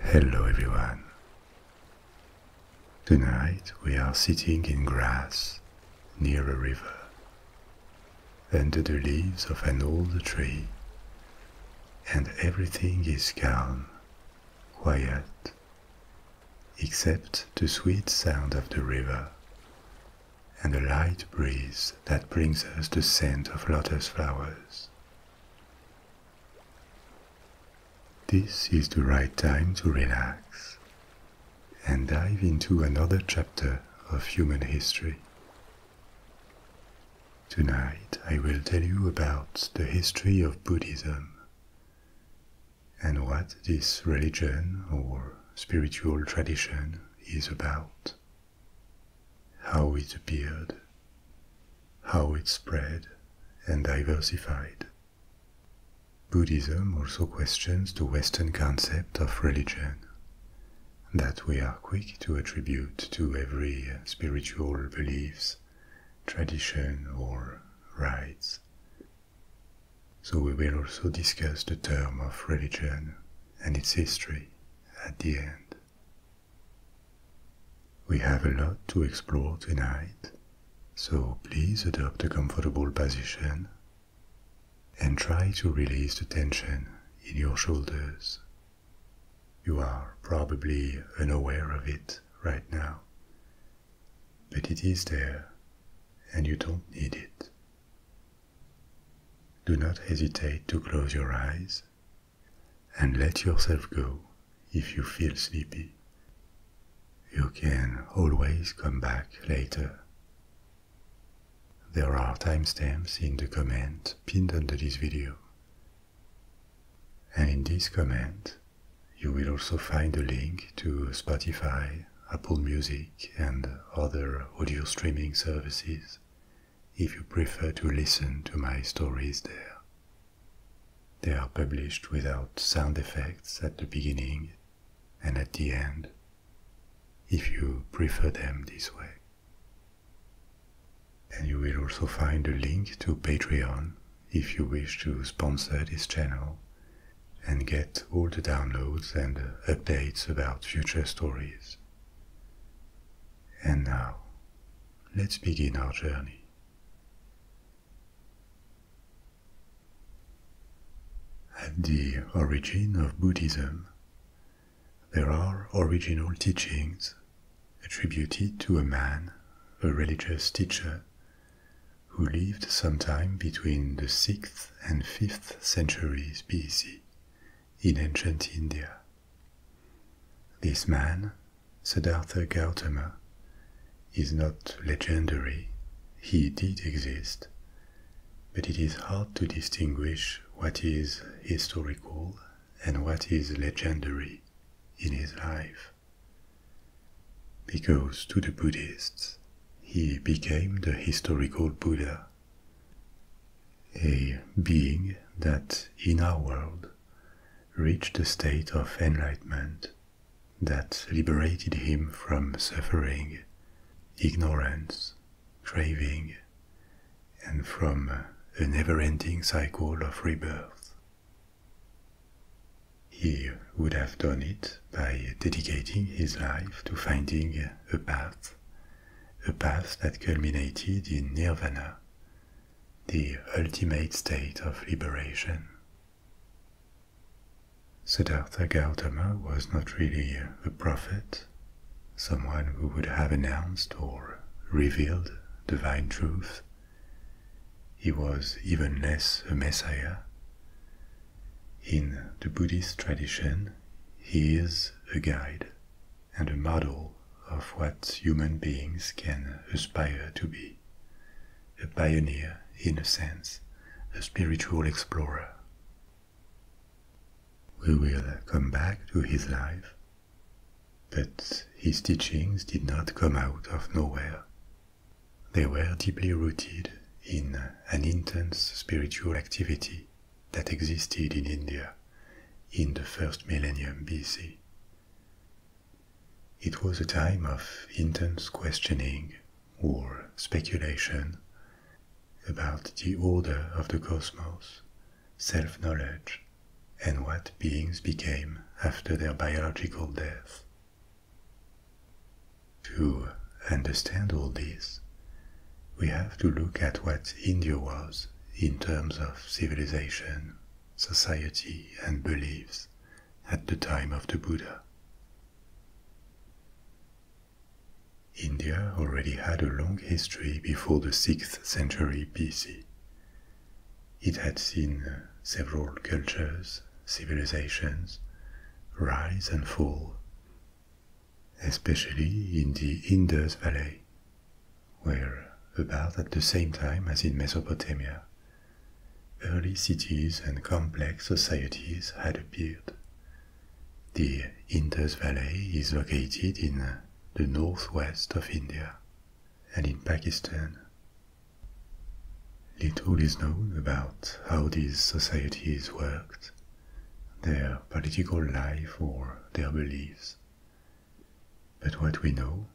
Hello everyone. Tonight we are sitting in grass near a river, under the leaves of an old tree, and everything is calm, quiet, except the sweet sound of the river and the light breeze that brings us the scent of lotus flowers. This is the right time to relax and dive into another chapter of human history. Tonight I will tell you about the history of Buddhism and what this religion or spiritual tradition is about how it appeared, how it spread and diversified. Buddhism also questions the Western concept of religion that we are quick to attribute to every spiritual beliefs, tradition, or rites. So we will also discuss the term of religion and its history at the end. We have a lot to explore tonight, so please adopt a comfortable position and try to release the tension in your shoulders. You are probably unaware of it right now, but it is there and you don't need it. Do not hesitate to close your eyes and let yourself go if you feel sleepy. You can always come back later. There are timestamps in the comment pinned under this video. And in this comment, you will also find a link to Spotify, Apple Music, and other audio streaming services if you prefer to listen to my stories there. They are published without sound effects at the beginning and at the end, if you prefer them this way. And you will also find a link to Patreon if you wish to sponsor this channel and get all the downloads and updates about future stories. And now, Let's begin our journey. At the origin of Buddhism, there are original teachings attributed to a man, a religious teacher, who lived sometime between the 6th and 5th centuries BC in ancient India. This man, Siddhartha Gautama, is not legendary, he did exist, but it is hard to distinguish what is historical and what is legendary in his life. Because to the Buddhists, he became the historical Buddha a being that in our world reached a state of enlightenment that liberated him from suffering, ignorance, craving, and from a never ending cycle of rebirth. He would have done it by dedicating his life to finding a path, a path that culminated in nirvana, the ultimate state of liberation. Siddhartha Gautama was not really a prophet, someone who would have announced or revealed divine truth. He was even less a messiah. In the Buddhist tradition, he is a guide, and a model of what human beings can aspire to be. A pioneer, in a sense, a spiritual explorer. We will come back to his life, but his teachings did not come out of nowhere. They were deeply rooted in an intense spiritual activity that existed in India in the first millennium BC. It was a time of intense questioning or speculation about the order of the cosmos, self knowledge, and what beings became after their biological death. To understand all this, we have to look at what India was in terms of civilization society, and beliefs at the time of the Buddha. India already had a long history before the 6th century BC. It had seen uh, several cultures, civilizations, rise and fall, especially in the Indus Valley, where, about at the same time as in Mesopotamia. Early cities and complex societies had appeared. The Indus Valley is located in the northwest of India and in Pakistan. Little is known about how these societies worked, their political life or their beliefs, but what we know,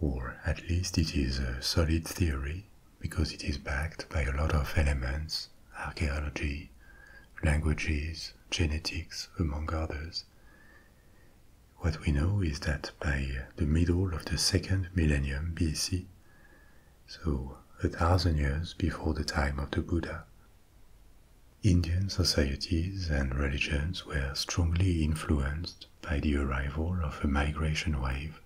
or at least it is a solid theory because it is backed by a lot of elements, archaeology, languages, genetics, among others. What we know is that by the middle of the second millennium BC, so a thousand years before the time of the Buddha, Indian societies and religions were strongly influenced by the arrival of a migration wave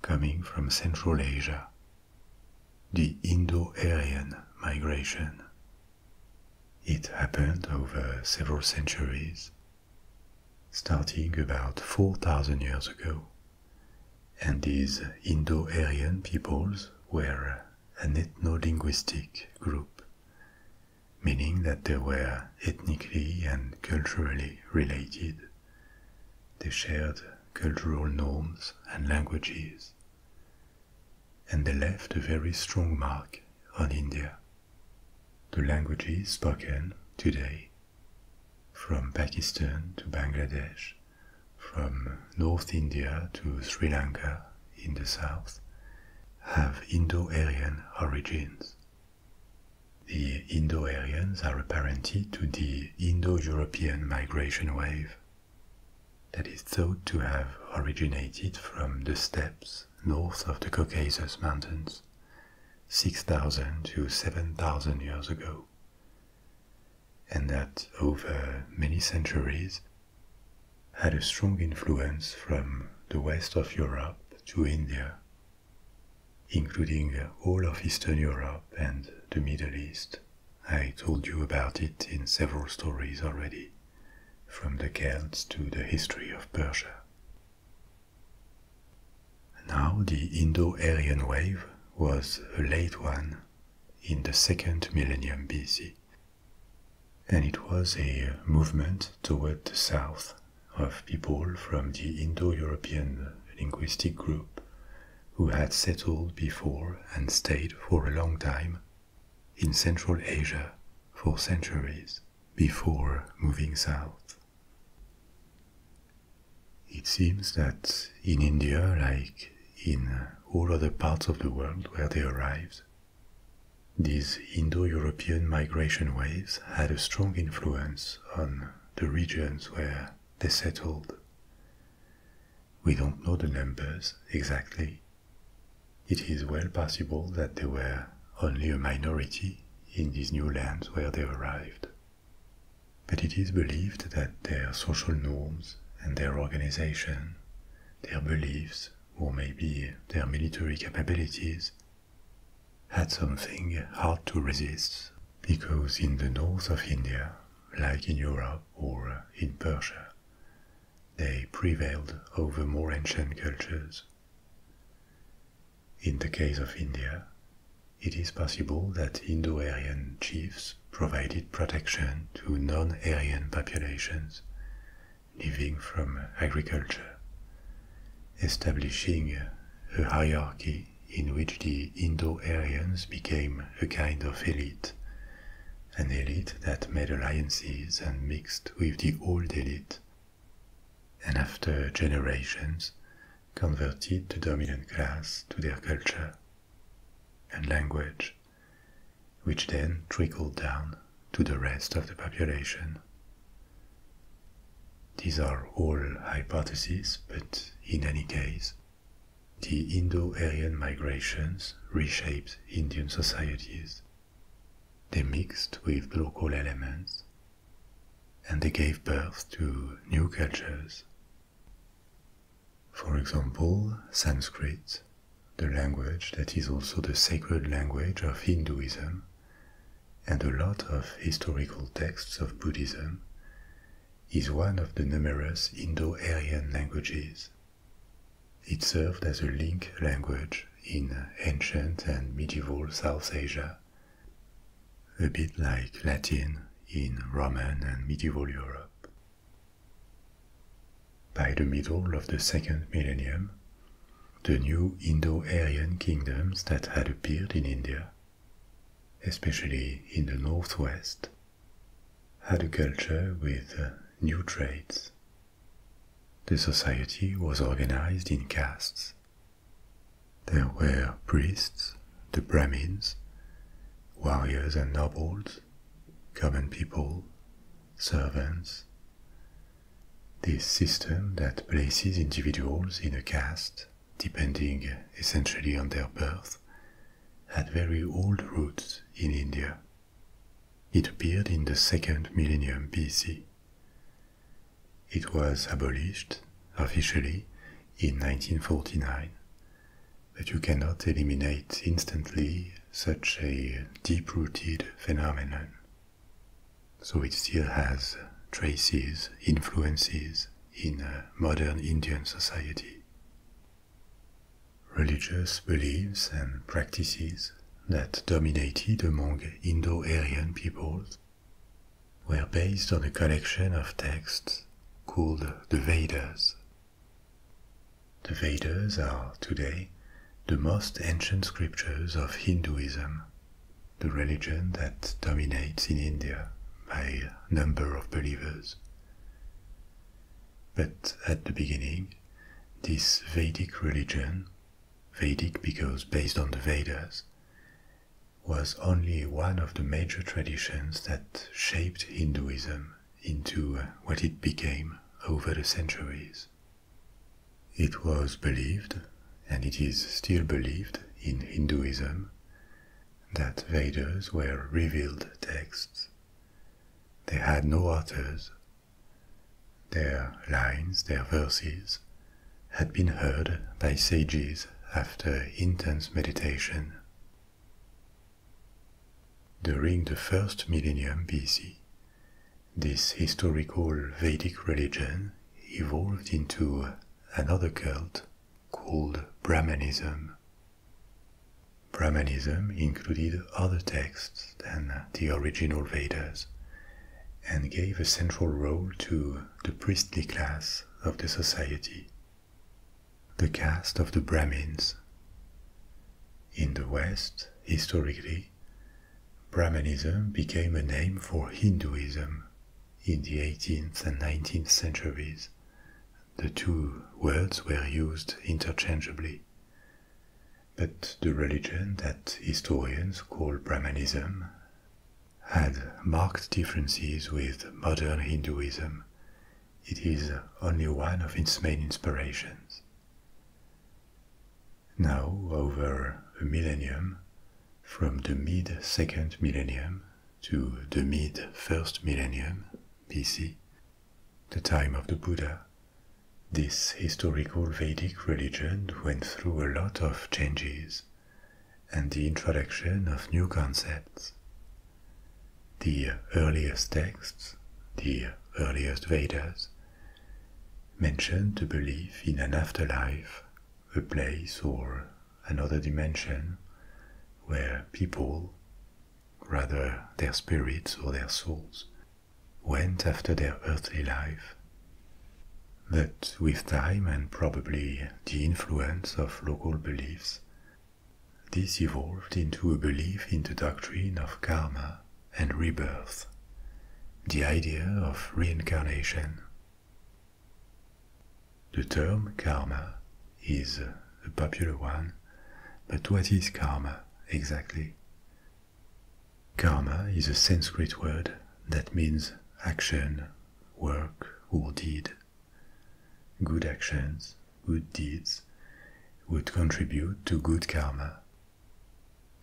coming from Central Asia, the Indo Aryan migration. It happened over several centuries, starting about 4,000 years ago, and these Indo Aryan peoples were an ethno linguistic group meaning that they were ethnically and culturally related. They shared cultural norms and languages, and they left a very strong mark on India. The languages spoken today, from Pakistan to Bangladesh, from North India to Sri Lanka in the south, have Indo-Aryan origins. The Indo-Aryans are a to the Indo-European migration wave that is thought to have originated from the steppes north of the Caucasus Mountains 6,000 to 7,000 years ago, and that over many centuries had a strong influence from the west of Europe to India, including all of Eastern Europe and the Middle East. I told you about it in several stories already, from the Celts to the history of Persia. Now, the Indo Aryan wave was a late one in the second millennium BC and it was a movement toward the south of people from the Indo-European linguistic group who had settled before and stayed for a long time in Central Asia for centuries before moving south. It seems that in India, like in all other parts of the world where they arrived, these Indo European migration waves had a strong influence on the regions where they settled. We don't know the numbers exactly. It is well possible that they were only a minority in these new lands where they arrived. But it is believed that their social norms and their organization, their beliefs, or maybe their military capabilities, had something hard to resist because in the north of India, like in Europe or in Persia, they prevailed over more ancient cultures. In the case of India, it is possible that Indo-Aryan chiefs provided protection to non-Aryan populations living from agriculture, establishing a hierarchy in which the Indo-Aryans became a kind of elite, an elite that made alliances and mixed with the old elite, and after generations converted the dominant class to their culture and language, which then trickled down to the rest of the population. These are all hypotheses, but in any case, the Indo Aryan migrations reshaped Indian societies. They mixed with local elements and they gave birth to new cultures. For example, Sanskrit, the language that is also the sacred language of Hinduism, and a lot of historical texts of Buddhism, is one of the numerous Indo-Aryan languages. It served as a link language in ancient and medieval South Asia, a bit like Latin in Roman and medieval Europe. By the middle of the second millennium, the new Indo-Aryan kingdoms that had appeared in India, especially in the northwest, had a culture with uh, new traits. The society was organized in castes. There were priests, the Brahmins, warriors and nobles, common people, servants. This system that places individuals in a caste, depending essentially on their birth, had very old roots in India. It appeared in the second millennium BC. It was abolished officially in 1949, but you cannot eliminate instantly such a deep rooted phenomenon. So it still has traces, influences in uh, modern Indian society. Religious beliefs and practices that dominated among Indo Aryan peoples were based on a collection of texts called the Vedas. The Vedas are today the most ancient scriptures of Hinduism, the religion that dominates in India by number of believers. But at the beginning, this Vedic religion, Vedic because based on the Vedas, was only one of the major traditions that shaped Hinduism into what it became over the centuries it was believed, and it is still believed in Hinduism, that Vedas were revealed texts. They had no authors. Their lines, their verses, had been heard by sages after intense meditation. During the first millennium BC, this historical Vedic religion evolved into another cult called Brahmanism. Brahmanism included other texts than the original Vedas and gave a central role to the priestly class of the society, the caste of the Brahmins. In the West, historically, Brahmanism became a name for Hinduism in the 18th and 19th centuries. The two words were used interchangeably. But the religion that historians call Brahmanism had marked differences with modern Hinduism. It is only one of its main inspirations. Now, over a millennium, from the mid second millennium to the mid first millennium BC, the time of the Buddha, this historical Vedic religion went through a lot of changes and the introduction of new concepts. The earliest texts, the earliest Vedas, mentioned the belief in an afterlife, a place or another dimension where people, rather their spirits or their souls, went after their earthly life. But with time and probably the influence of local beliefs, this evolved into a belief in the doctrine of karma and rebirth the idea of reincarnation. The term karma is a popular one, but what is karma exactly? Karma is a Sanskrit word that means action, work, or deed. Good actions, good deeds would contribute to good karma,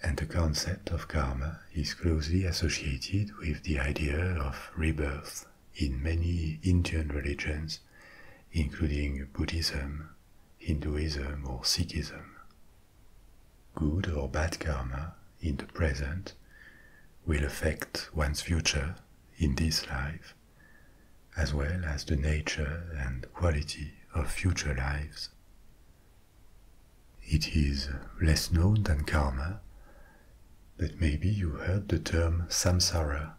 and the concept of karma is closely associated with the idea of rebirth in many Indian religions, including Buddhism, Hinduism, or Sikhism. Good or bad karma in the present will affect one's future in this life, as well as the nature and quality of future lives. It is less known than karma, but maybe you heard the term samsara,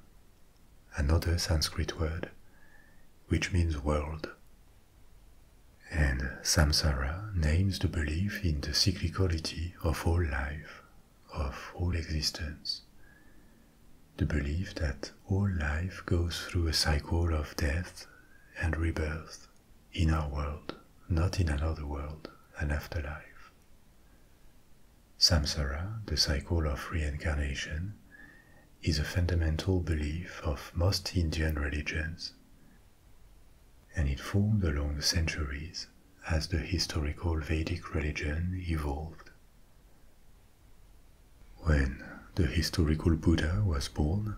another Sanskrit word, which means world. And samsara names the belief in the cyclicality of all life, of all existence. The belief that all life goes through a cycle of death and rebirth in our world not in another world, an afterlife. Samsara, the cycle of reincarnation, is a fundamental belief of most Indian religions, and it formed along the centuries as the historical Vedic religion evolved. When the historical Buddha was born,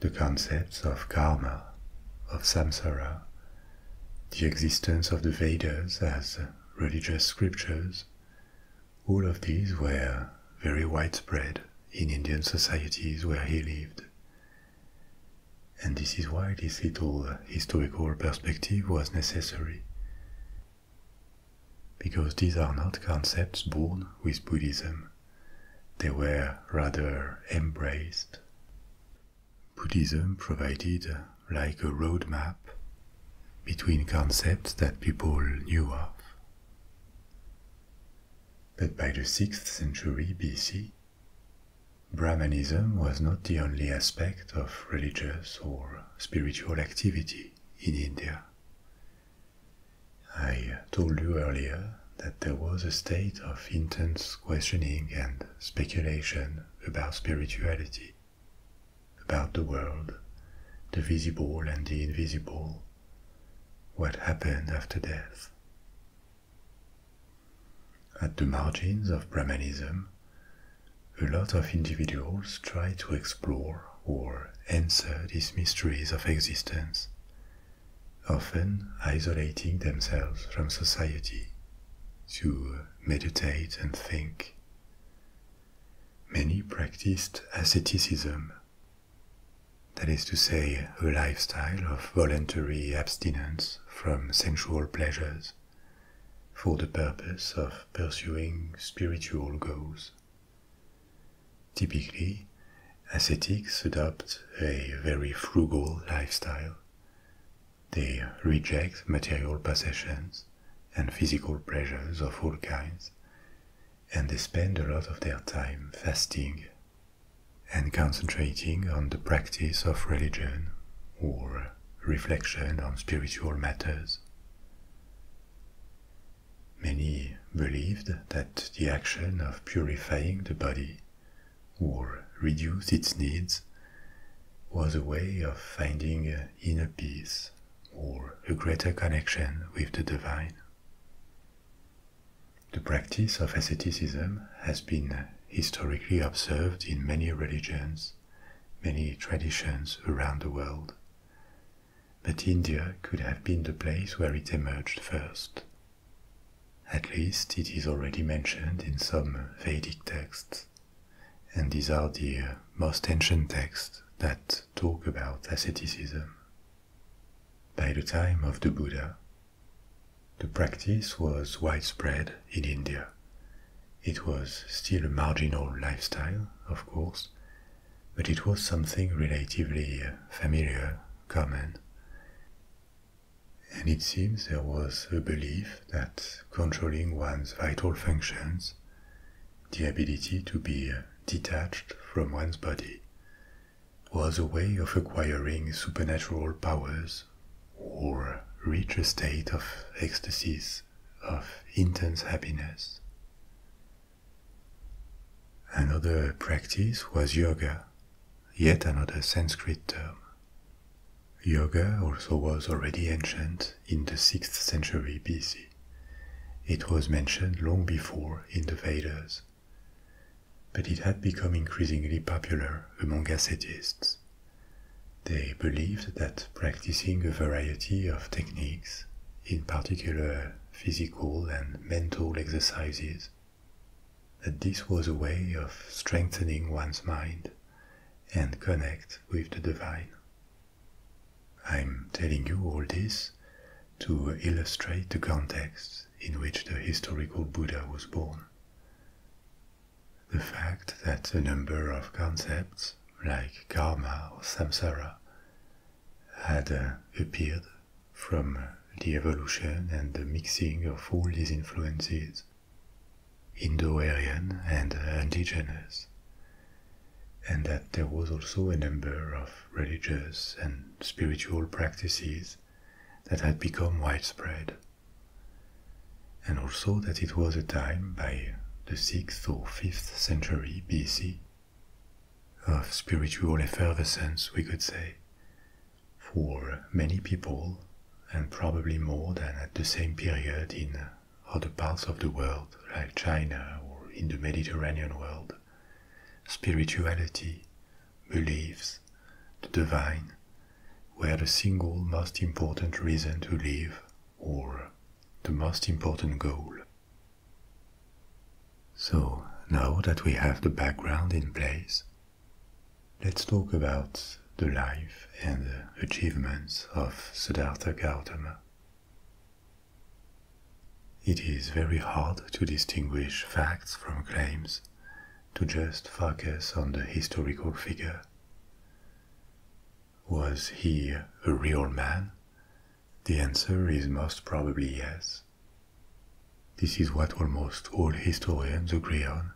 the concepts of karma, of samsara, the existence of the Vedas as religious scriptures, all of these were very widespread in Indian societies where he lived. And this is why this little historical perspective was necessary. Because these are not concepts born with Buddhism they were rather embraced. Buddhism provided like a road map, between concepts that people knew of. But by the 6th century BC, Brahmanism was not the only aspect of religious or spiritual activity in India. I told you earlier that there was a state of intense questioning and speculation about spirituality, about the world, the visible and the invisible, what happened after death. At the margins of Brahmanism, a lot of individuals try to explore or answer these mysteries of existence often isolating themselves from society to meditate and think. Many practiced asceticism, that is to say, a lifestyle of voluntary abstinence from sensual pleasures for the purpose of pursuing spiritual goals. Typically, ascetics adopt a very frugal lifestyle. They reject material possessions and physical pleasures of all kinds, and they spend a lot of their time fasting and concentrating on the practice of religion or reflection on spiritual matters. Many believed that the action of purifying the body or reduce its needs was a way of finding inner peace or a greater connection with the divine. The practice of asceticism has been historically observed in many religions, many traditions around the world, but India could have been the place where it emerged first at least it is already mentioned in some Vedic texts, and these are the most ancient texts that talk about asceticism. By the time of the Buddha, the practice was widespread in India. It was still a marginal lifestyle, of course, but it was something relatively familiar, common and it seems there was a belief that controlling one's vital functions, the ability to be detached from one's body, was a way of acquiring supernatural powers or reach a state of ecstasies, of intense happiness. Another practice was yoga, yet another Sanskrit term. Yoga also was already ancient in the 6th century BC. It was mentioned long before in the Vedas, but it had become increasingly popular among ascetics. They believed that practicing a variety of techniques, in particular physical and mental exercises, that this was a way of strengthening one's mind and connect with the divine. I'm telling you all this to illustrate the context in which the historical Buddha was born. The fact that a number of concepts, like karma or samsara, had uh, appeared from the evolution and the mixing of all these influences, Indo Aryan and indigenous, and that there was also a number of religious and spiritual practices that had become widespread, and also that it was a time by the 6th or 5th century BC of spiritual effervescence, we could say for many people, and probably more than at the same period in other parts of the world like China or in the Mediterranean world, spirituality, beliefs, the divine were the single most important reason to live or the most important goal. So now that we have the background in place, Let's talk about the life and achievements of Siddhartha Gautama. It is very hard to distinguish facts from claims, to just focus on the historical figure. Was he a real man? The answer is most probably yes, this is what almost all historians agree on,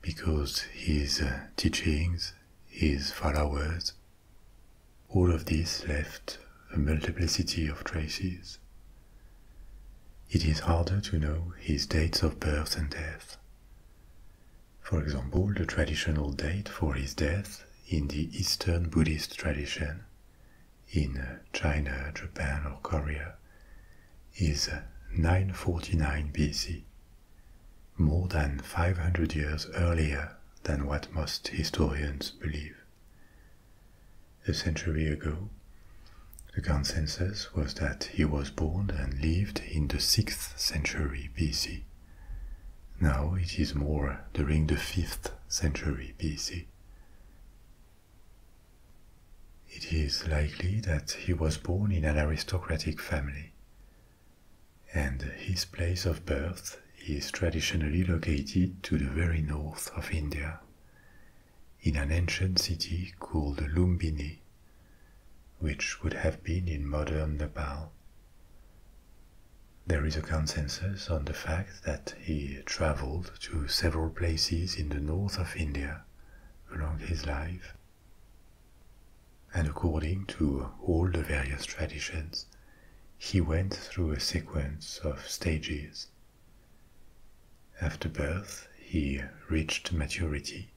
because his uh, teachings, his followers, all of this left a multiplicity of traces. It is harder to know his dates of birth and death. For example, the traditional date for his death in the Eastern Buddhist tradition in uh, China, Japan, or Korea is uh, 949 BC, more than 500 years earlier than what most historians believe. A century ago, the consensus was that he was born and lived in the 6th century BC. Now it is more during the 5th century BC. It is likely that he was born in an aristocratic family, and his place of birth is traditionally located to the very north of India, in an ancient city called Lumbini, which would have been in modern Nepal. There is a consensus on the fact that he traveled to several places in the north of India along his life. And according to all the various traditions, he went through a sequence of stages. After birth, he reached maturity,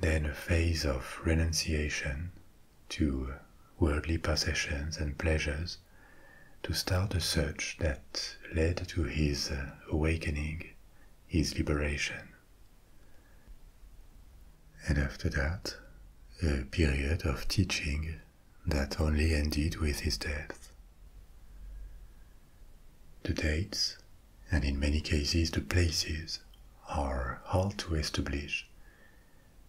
then a phase of renunciation to worldly possessions and pleasures to start a search that led to his uh, awakening, his liberation. And after that, a period of teaching that only ended with his death. The dates, and in many cases the places, are hard to establish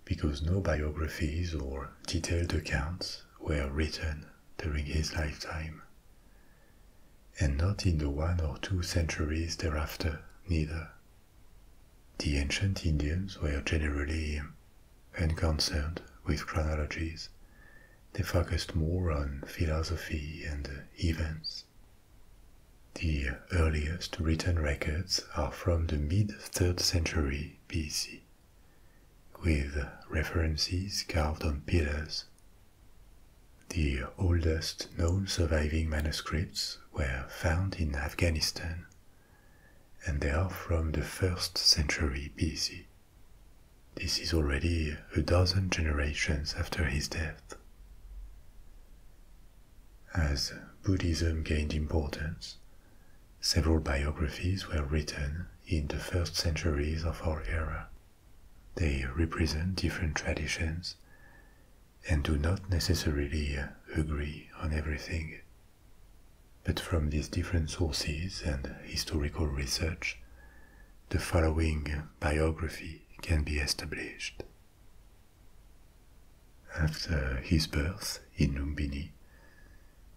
because no biographies or detailed accounts were written during his lifetime, and not in the one or two centuries thereafter, neither. The ancient Indians were generally unconcerned with chronologies, they focused more on philosophy and events. The earliest written records are from the mid 3rd century BC, with references carved on pillars the oldest known surviving manuscripts were found in Afghanistan, and they are from the 1st century BC. This is already a dozen generations after his death. As Buddhism gained importance, several biographies were written in the first centuries of our era. They represent different traditions and do not necessarily uh, agree on everything. But from these different sources and historical research, the following biography can be established. After his birth in Lumbini,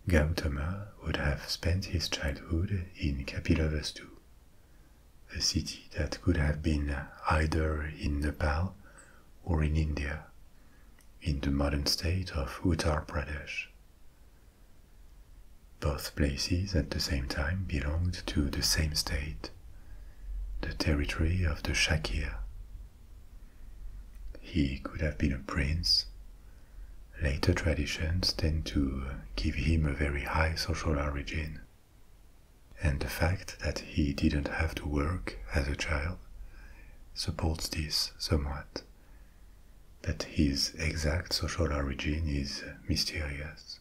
Gautama would have spent his childhood in Kapilavastu, a city that could have been either in Nepal or in India, in the modern state of Uttar Pradesh. Both places at the same time belonged to the same state, the territory of the Shakya. He could have been a prince, Later traditions tend to give him a very high social origin. And the fact that he didn't have to work as a child supports this somewhat. That his exact social origin is mysterious.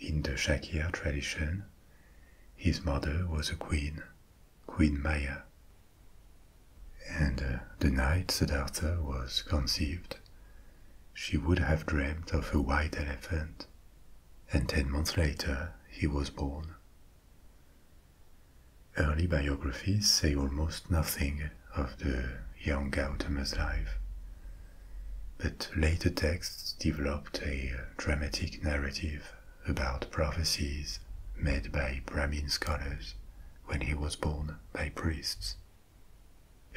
In the Shakya tradition, his mother was a queen, Queen Maya. And uh, the night Siddhartha was conceived, she would have dreamed of a white elephant, and ten months later he was born. Early biographies say almost nothing of the young Gautama's life, but later texts developed a dramatic narrative about prophecies made by Brahmin scholars when he was born by priests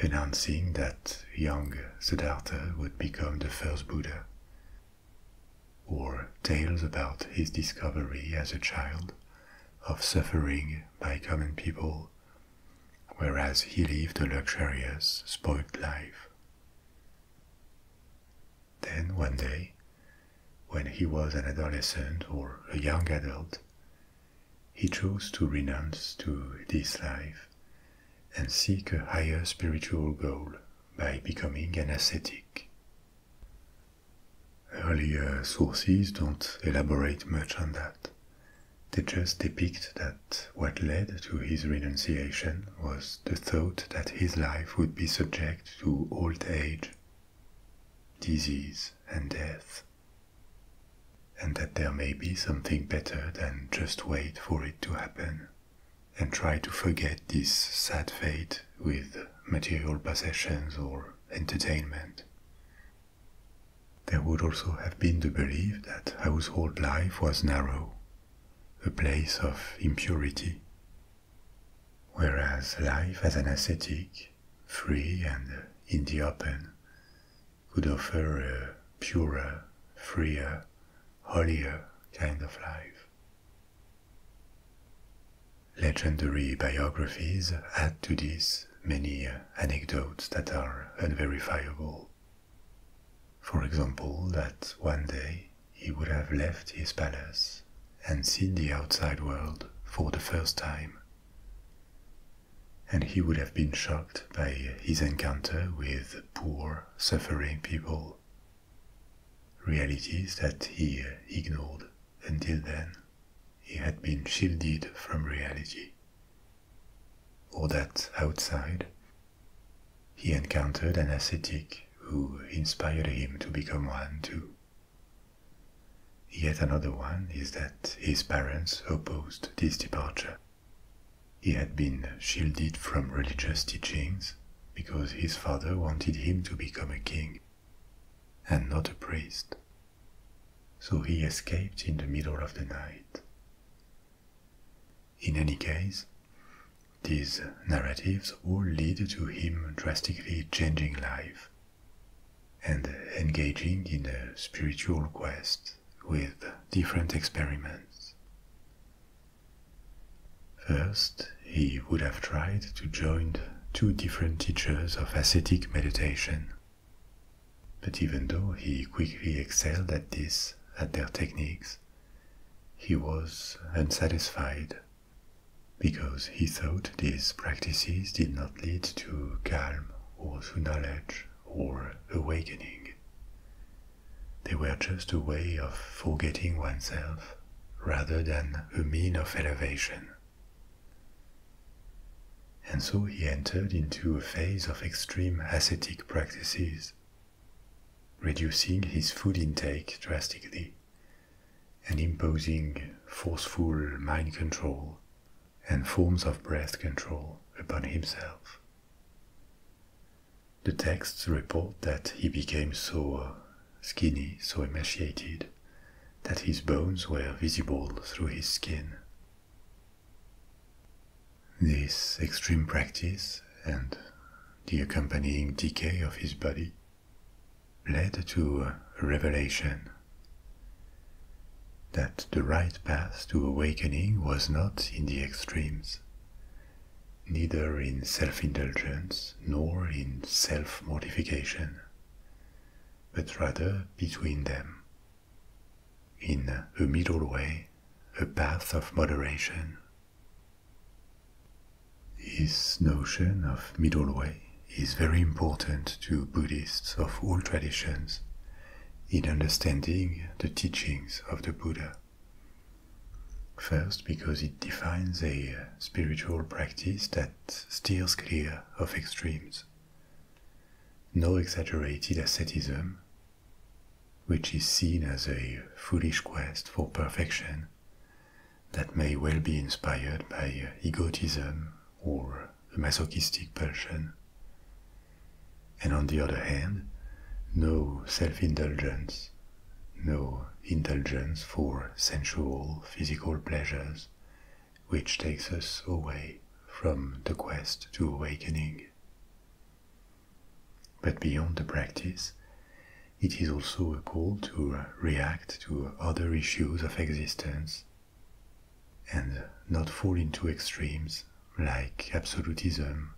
announcing that young Siddhartha would become the first Buddha, or tales about his discovery as a child of suffering by common people, whereas he lived a luxurious, spoilt life. Then one day, when he was an adolescent or a young adult, he chose to renounce to this life and seek a higher spiritual goal by becoming an ascetic. Earlier sources don't elaborate much on that. They just depict that what led to his renunciation was the thought that his life would be subject to old age, disease, and death. And that there may be something better than just wait for it to happen and try to forget this sad fate with material possessions or entertainment. There would also have been the belief that household life was narrow, a place of impurity, whereas life as an ascetic, free and in the open, could offer a uh, purer, freer, holier kind of life. Legendary biographies add to this many anecdotes that are unverifiable. For example, that one day he would have left his palace and seen the outside world for the first time and he would have been shocked by his encounter with poor, suffering people, realities that he ignored until then. He had been shielded from reality, or that outside he encountered an ascetic who inspired him to become one too. Yet another one is that his parents opposed this departure. He had been shielded from religious teachings because his father wanted him to become a king and not a priest. So he escaped in the middle of the night. In any case, these narratives all lead to him drastically changing life and engaging in a spiritual quest with different experiments. First, he would have tried to join two different teachers of ascetic meditation. But even though he quickly excelled at this, at their techniques, he was unsatisfied because he thought these practices did not lead to calm or to knowledge or awakening. They were just a way of forgetting oneself rather than a means of elevation. And so he entered into a phase of extreme ascetic practices, reducing his food intake drastically and imposing forceful mind control and forms of breath control upon himself. The texts report that he became so uh, skinny, so emaciated, that his bones were visible through his skin. This extreme practice and the accompanying decay of his body led to a revelation that the right path to awakening was not in the extremes, neither in self indulgence nor in self mortification, but rather between them, in a middle way, a path of moderation. This notion of middle way is very important to Buddhists of all traditions in understanding the teachings of the Buddha. First, because it defines a spiritual practice that steers clear of extremes. No exaggerated asceticism, which is seen as a foolish quest for perfection that may well be inspired by egotism or a masochistic passion, And on the other hand, no self indulgence, no indulgence for sensual physical pleasures, which takes us away from the quest to awakening. But beyond the practice, it is also a call to react to other issues of existence and not fall into extremes like absolutism,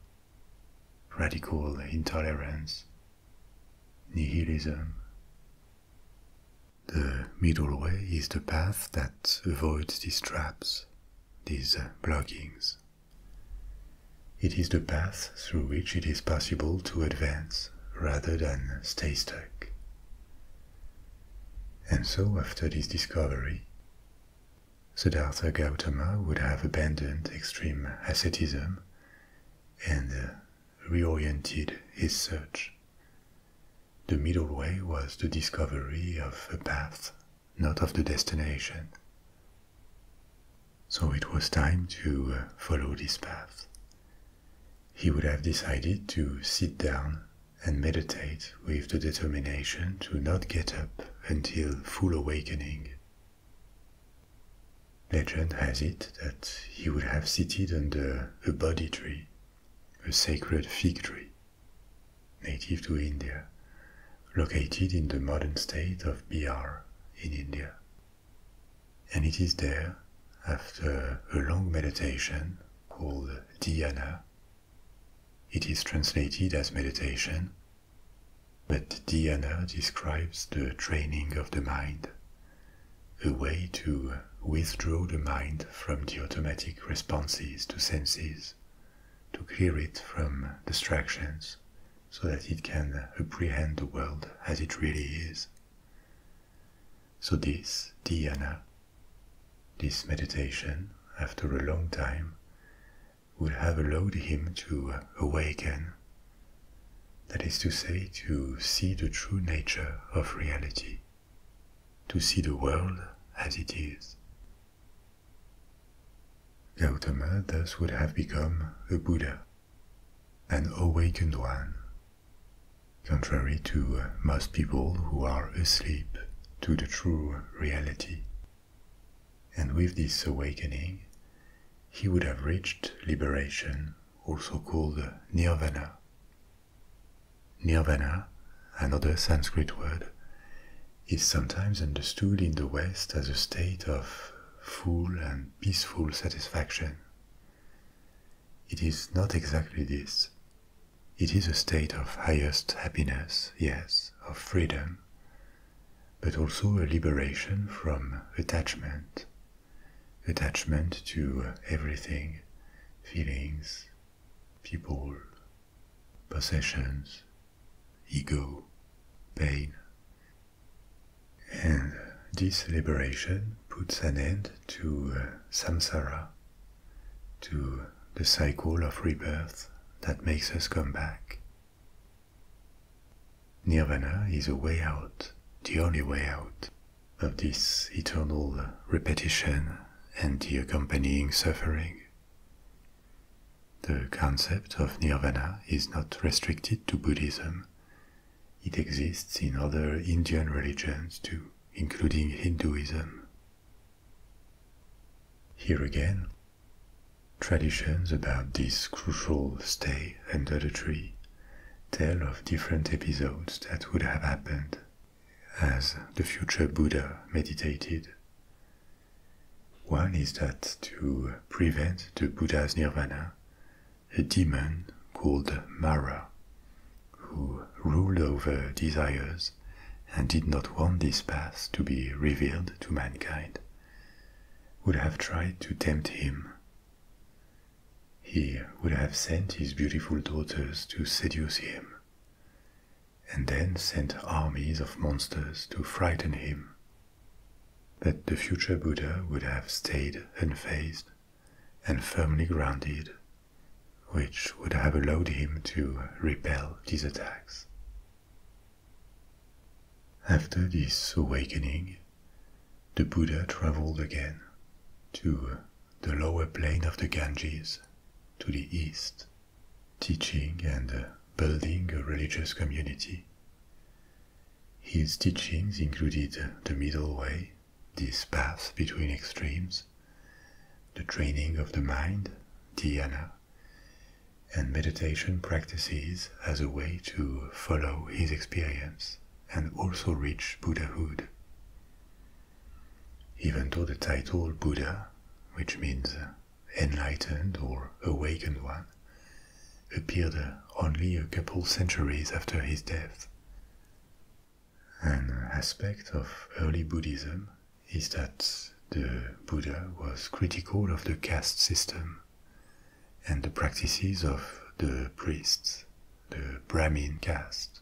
radical intolerance, nihilism. The middle way is the path that avoids these traps, these uh, blockings. It is the path through which it is possible to advance rather than stay stuck. And so, after this discovery, Siddhartha Gautama would have abandoned extreme asceticism and uh, reoriented his search. The middle way was the discovery of a path, not of the destination. So it was time to uh, follow this path. He would have decided to sit down and meditate with the determination to not get up until full awakening. Legend has it that he would have seated under a Bodhi tree, a sacred fig tree, native to India, located in the modern state of Bihar in India. And it is there, after a long meditation called dhyana, it is translated as meditation, but dhyana describes the training of the mind, a way to withdraw the mind from the automatic responses to senses, to clear it from distractions, so that it can apprehend the world as it really is. So this dhyana this meditation, after a long time, would have allowed him to awaken, that is to say, to see the true nature of reality, to see the world as it is. Gautama thus would have become a Buddha, an awakened one, contrary to most people who are asleep to the true reality. And with this awakening, he would have reached liberation, also called nirvana. Nirvana, another Sanskrit word, is sometimes understood in the West as a state of full and peaceful satisfaction. It is not exactly this. It is a state of highest happiness, yes, of freedom, but also a liberation from attachment, attachment to everything, feelings, people, possessions, ego, pain. And this liberation puts an end to uh, samsara, to the cycle of rebirth that makes us come back. Nirvana is a way out, the only way out of this eternal repetition and the accompanying suffering. The concept of nirvana is not restricted to Buddhism. It exists in other Indian religions too, including Hinduism. Here again, traditions about this crucial stay under the tree tell of different episodes that would have happened as the future Buddha meditated. One is that to prevent the Buddha's nirvana, a demon called Mara, who ruled over desires, and did not want this path to be revealed to mankind, would have tried to tempt him. He would have sent his beautiful daughters to seduce him, and then sent armies of monsters to frighten him. That the future Buddha would have stayed unfazed and firmly grounded, which would have allowed him to repel these attacks. After this awakening, the Buddha traveled again to the lower plain of the Ganges to the east, teaching and building a religious community. His teachings included the middle way, this path between extremes, the training of the mind, dhyana, and meditation practices as a way to follow his experience and also reach Buddhahood. Even though the title Buddha, which means enlightened or awakened one, appeared only a couple centuries after his death. An aspect of early Buddhism is that the Buddha was critical of the caste system and the practices of the priests, the Brahmin caste.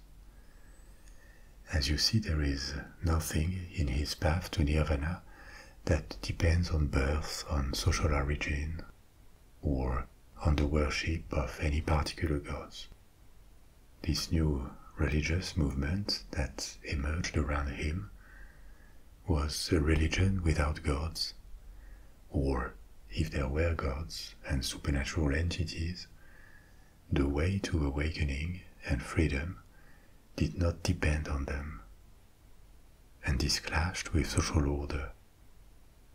As you see, there is nothing in his path to nirvana that depends on birth, on social origin, or on the worship of any particular gods. This new religious movement that emerged around him was a religion without gods, or if there were gods and supernatural entities, the way to awakening and freedom did not depend on them. And this clashed with social order.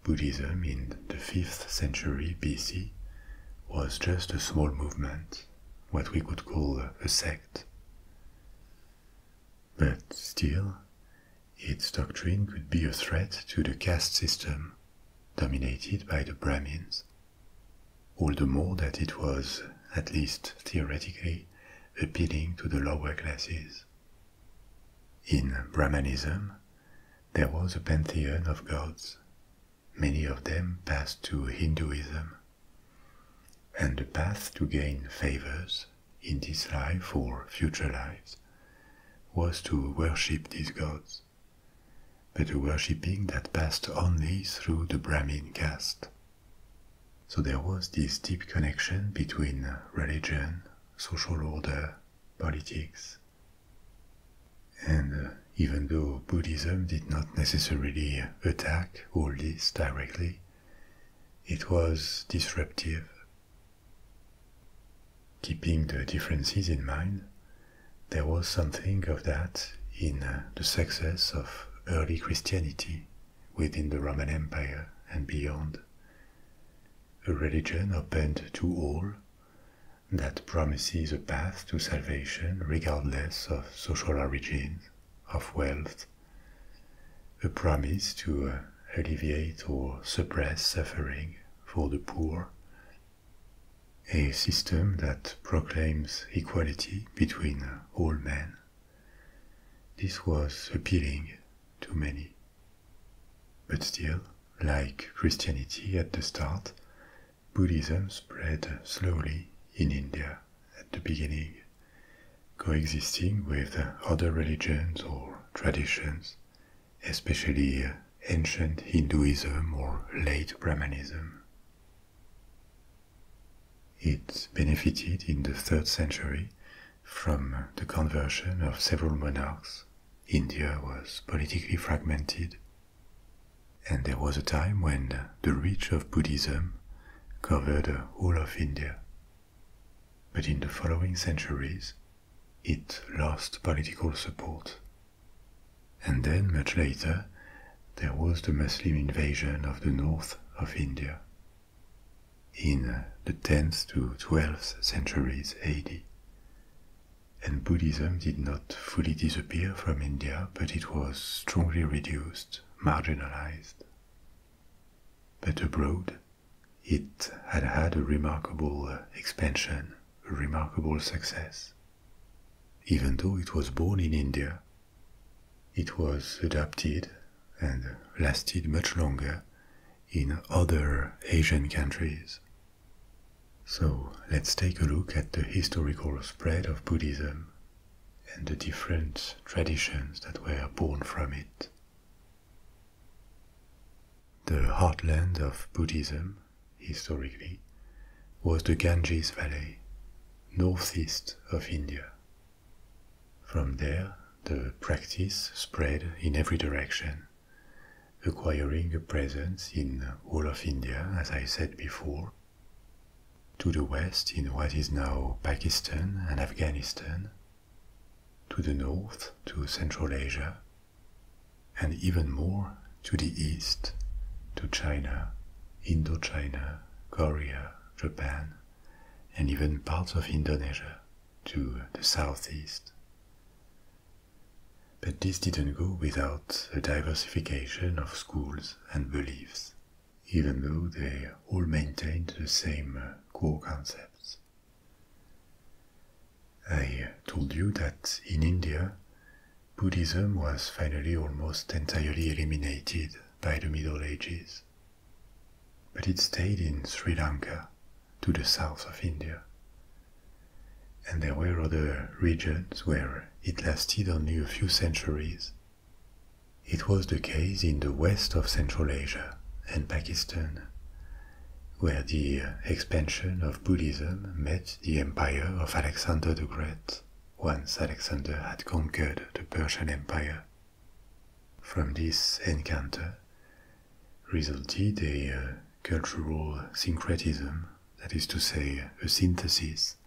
Buddhism in the 5th century BC was just a small movement, what we could call a sect. But still, its doctrine could be a threat to the caste system dominated by the Brahmins, all the more that it was, at least theoretically, appealing to the lower classes. In Brahmanism, there was a pantheon of gods. Many of them passed to Hinduism, and the path to gain favors in this life or future lives was to worship these gods, but a worshipping that passed only through the Brahmin caste. So there was this deep connection between religion, social order, politics. And uh, even though Buddhism did not necessarily attack attacked all this directly, it was disruptive. Keeping the differences in mind, there was something of that in uh, the success of early Christianity within the Roman Empire and beyond. A religion open to all that promises a path to salvation regardless of social origin of wealth, a promise to uh, alleviate or suppress suffering for the poor, a system that proclaims equality between uh, all men. This was appealing to many. But still, like Christianity at the start, Buddhism spread slowly in India at the beginning, coexisting with other religions or traditions, especially ancient Hinduism or late Brahmanism. It benefited in the 3rd century from the conversion of several monarchs. India was politically fragmented and there was a time when the reach of Buddhism covered all of India. But in the following centuries, it lost political support. And then, much later, there was the Muslim invasion of the north of India in the 10th to 12th centuries AD. And Buddhism did not fully disappear from India, but it was strongly reduced marginalized. But abroad, it had had a remarkable uh, expansion, a remarkable success. Even though it was born in India, it was adapted and lasted much longer in other Asian countries. So let's take a look at the historical spread of Buddhism and the different traditions that were born from it. The heartland of Buddhism, historically, was the Ganges Valley, northeast of India. From there, the practice spread in every direction, acquiring a presence in all of India, as I said before, to the west, in what is now Pakistan and Afghanistan, to the north, to Central Asia, and even more to the east, to China, Indochina, Korea, Japan, and even parts of Indonesia to the southeast. But this didn't go without a diversification of schools and beliefs even though they all maintained the same uh, core concepts. I told you that in India, Buddhism was finally almost entirely eliminated by the Middle Ages, but it stayed in Sri Lanka, to the south of India. And there were other regions where it lasted only a few centuries it was the case in the west of Central Asia and Pakistan, where the expansion of Buddhism met the empire of Alexander the Great once Alexander had conquered the Persian Empire. From this encounter resulted a uh, cultural syncretism, that is to say, a synthesis,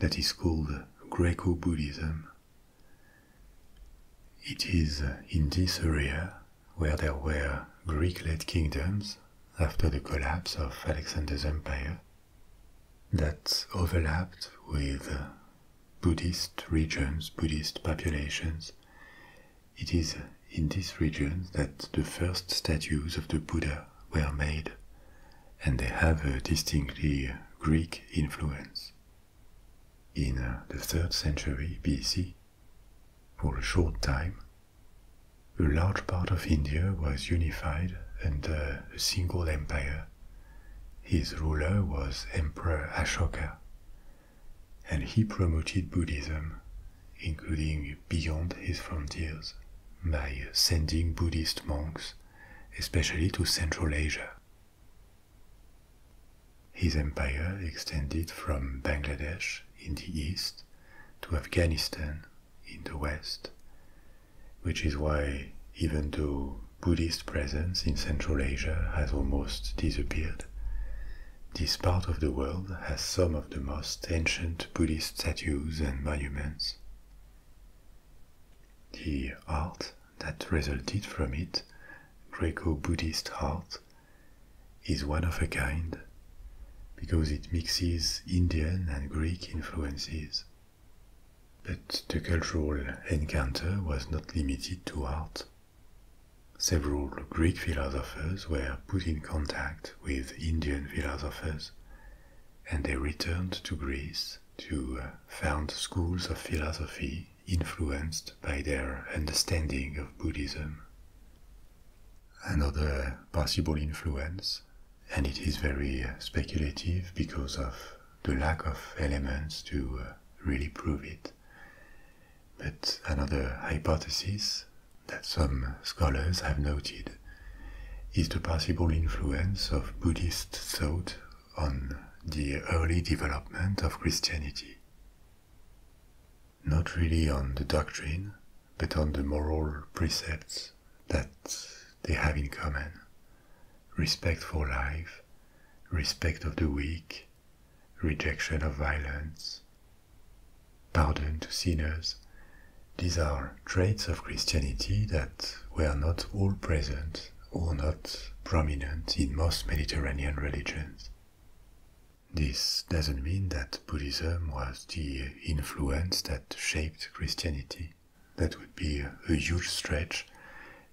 that is called Greco Buddhism it is in this area where there were Greek-led kingdoms after the collapse of Alexander's empire that overlapped with Buddhist regions, Buddhist populations. It is in this region that the first statues of the Buddha were made and they have a distinctly Greek influence. In uh, the 3rd century BC, for a short time, a large part of India was unified under a single empire. His ruler was Emperor Ashoka, and he promoted Buddhism, including beyond his frontiers, by sending Buddhist monks, especially to Central Asia. His empire extended from Bangladesh in the east to Afghanistan in the west, which is why, even though Buddhist presence in Central Asia has almost disappeared, this part of the world has some of the most ancient Buddhist statues and monuments. The art that resulted from it, Greco Buddhist art, is one of a kind because it mixes Indian and Greek influences. But the cultural encounter was not limited to art. Several Greek philosophers were put in contact with Indian philosophers, and they returned to Greece to uh, found schools of philosophy influenced by their understanding of Buddhism. Another possible influence, and it is very uh, speculative because of the lack of elements to uh, really prove it, but another hypothesis that some scholars have noted is the possible influence of Buddhist thought on the early development of Christianity. Not really on the doctrine, but on the moral precepts that they have in common respect for life, respect of the weak, rejection of violence, pardon to sinners. These are traits of Christianity that that were not all present or not prominent in most Mediterranean religions. This doesn't mean that Buddhism was the influence that shaped Christianity. That would be a huge stretch,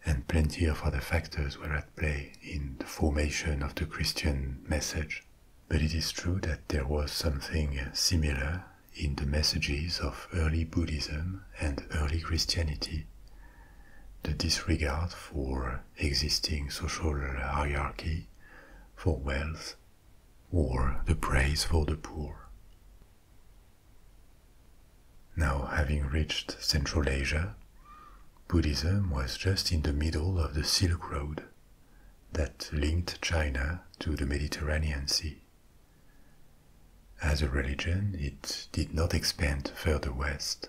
and plenty of other factors were at play in the formation of the Christian message. But it is true that there was something similar in the messages of early Buddhism and early Christianity the disregard for existing social hierarchy, for wealth, or the praise for the poor. Now, having reached Central Asia, Buddhism was just in the middle of the Silk Road that linked China to the Mediterranean Sea. As a religion, it did not expand further west,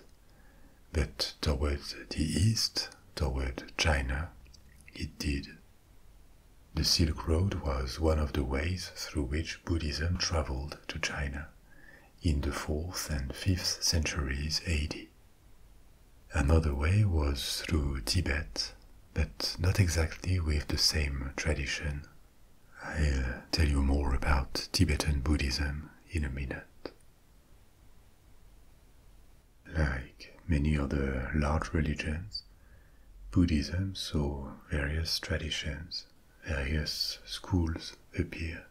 but toward the east, toward China, it did. The Silk Road was one of the ways through which Buddhism traveled to China in the 4th and 5th centuries AD. Another way was through Tibet, but not exactly with the same tradition I'll tell you more about Tibetan Buddhism in a minute. Like many other large religions, Buddhism saw various traditions, various schools appear.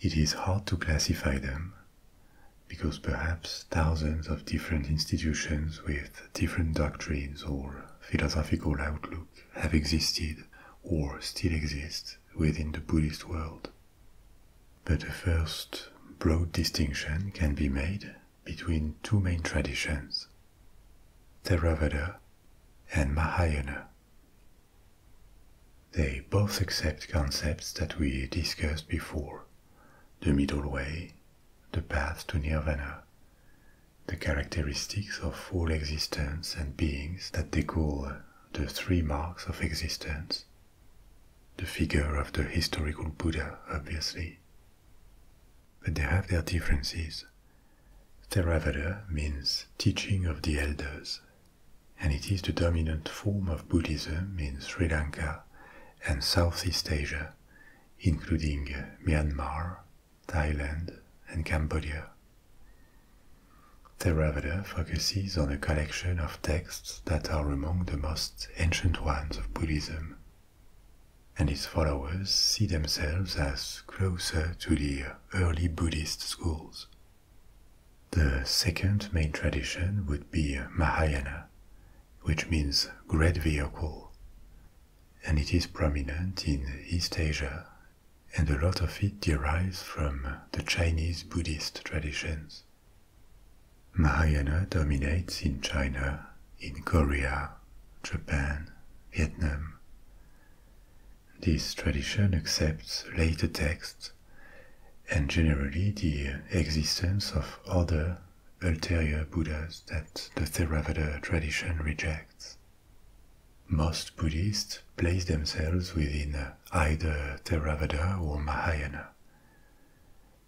It is hard to classify them because perhaps thousands of different institutions with different doctrines or philosophical outlooks have existed or still exist within the Buddhist world. But a first broad distinction can be made between two main traditions Theravada and Mahayana. They both accept concepts that we discussed before the middle way, the path to nirvana, the characteristics of all existence and beings that they call the three marks of existence. The figure of the historical Buddha, obviously. But they have their differences. Theravada means teaching of the elders, and it is the dominant form of Buddhism in Sri Lanka and Southeast Asia, including Myanmar Thailand, and Cambodia. Theravada focuses on a collection of texts that are among the most ancient ones of Buddhism, and its followers see themselves as closer to the early Buddhist schools. The second main tradition would be Mahayana, which means great vehicle, and it is prominent in East Asia and a lot of it derives from the Chinese Buddhist traditions. Mahayana dominates in China, in Korea, Japan, Vietnam. This tradition accepts later texts and generally the existence of other ulterior Buddhas that the Theravada tradition rejects. Most Buddhists place themselves within either Theravada or Mahayana.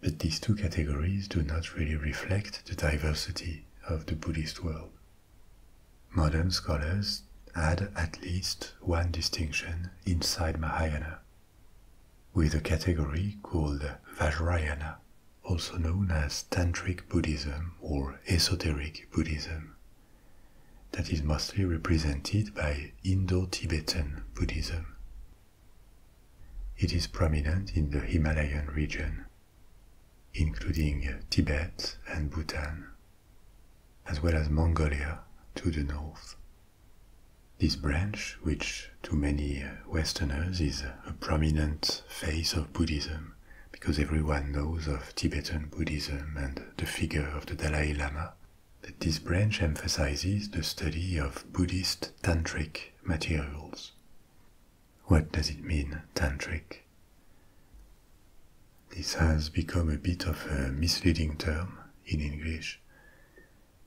But these two categories do not really reflect the diversity of the Buddhist world. Modern scholars add at least one distinction inside Mahayana, with a category called Vajrayana, also known as Tantric Buddhism or Esoteric Buddhism, that is mostly represented by Indo Tibetan Buddhism. It is prominent in the Himalayan region, including Tibet and Bhutan, as well as Mongolia to the north. This branch, which to many Westerners is a prominent face of Buddhism, because everyone knows of Tibetan Buddhism and the figure of the Dalai Lama, that this branch emphasizes the study of Buddhist tantric materials. What does it mean, tantric? This has become a bit of a misleading term in English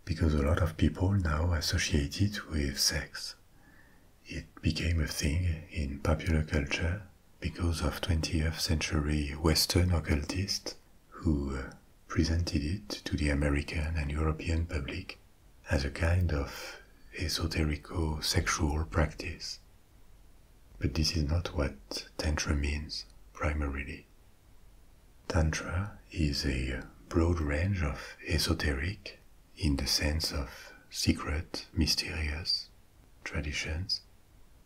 because a lot of people now associate it with sex. It became a thing in popular culture because of 20th century Western occultists who uh, presented it to the American and European public as a kind of esoterico sexual practice. But this is not what Tantra means primarily. Tantra is a broad range of esoteric in the sense of secret, mysterious traditions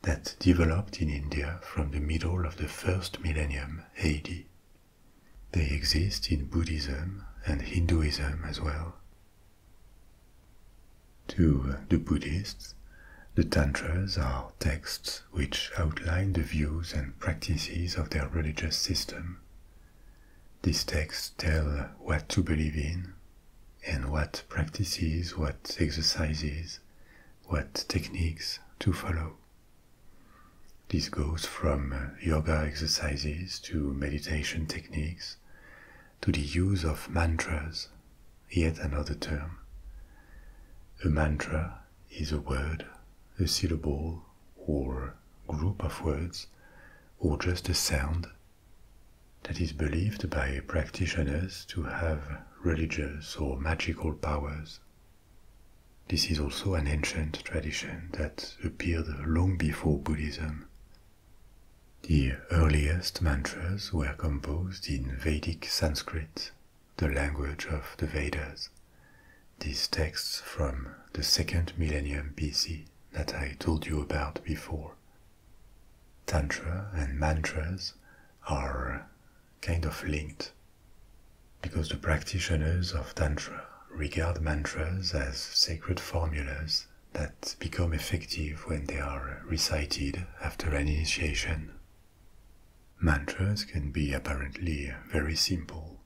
that developed in India from the middle of the first millennium AD. They exist in Buddhism and Hinduism as well. To the Buddhists, the Tantras are texts which outline the views and practices of their religious system. These texts tell what to believe in, and what practices, what exercises, what techniques to follow. This goes from uh, yoga exercises to meditation techniques to the use of mantras, yet another term. A mantra is a word, a syllable, or group of words, or just a sound that is believed by practitioners to have religious or magical powers. This is also an ancient tradition that appeared long before Buddhism. The earliest mantras were composed in Vedic Sanskrit, the language of the Vedas. These texts from the second millennium BC that I told you about before Tantra and mantras are kind of linked because the practitioners of Tantra regard mantras as sacred formulas that become effective when they are recited after an initiation. Mantras can be apparently very simple.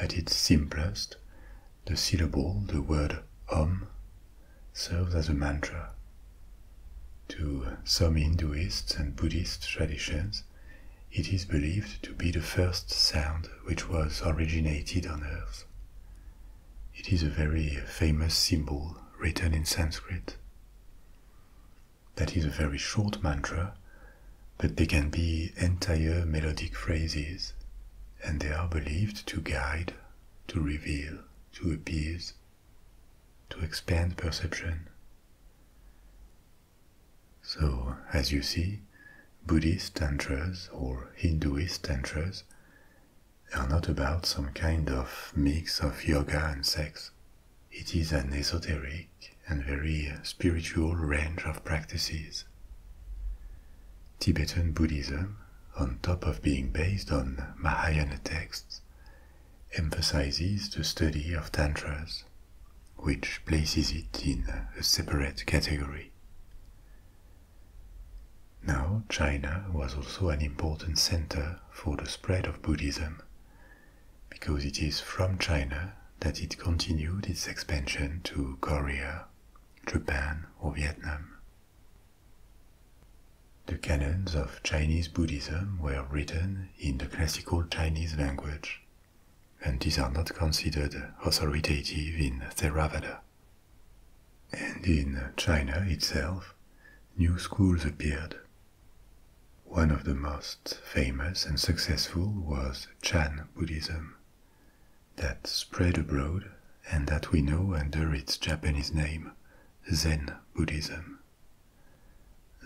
At its simplest, the syllable, the word Om, um, serves as a mantra. To some Hinduists and Buddhist traditions, it is believed to be the first sound which was originated on earth. It is a very famous symbol written in Sanskrit. That is a very short mantra, but they can be entire melodic phrases, and they are believed to guide to reveal, to appease, to expand perception. So, as you see, Buddhist tantras or Hinduist tantras are not about some kind of mix of yoga and sex. It is an esoteric and very spiritual range of practices. Tibetan Buddhism, on top of being based on Mahayana texts, emphasizes the study of tantras, which places it in a separate category. Now, China was also an important center for the spread of Buddhism, because it is from China that it continued its expansion to Korea, Japan, or Vietnam. The canons of Chinese Buddhism were written in the classical Chinese language, and these are not considered authoritative in Theravada. And in China itself, new schools appeared. One of the most famous and successful was Chan Buddhism, that spread abroad and that we know under its Japanese name, Zen Buddhism.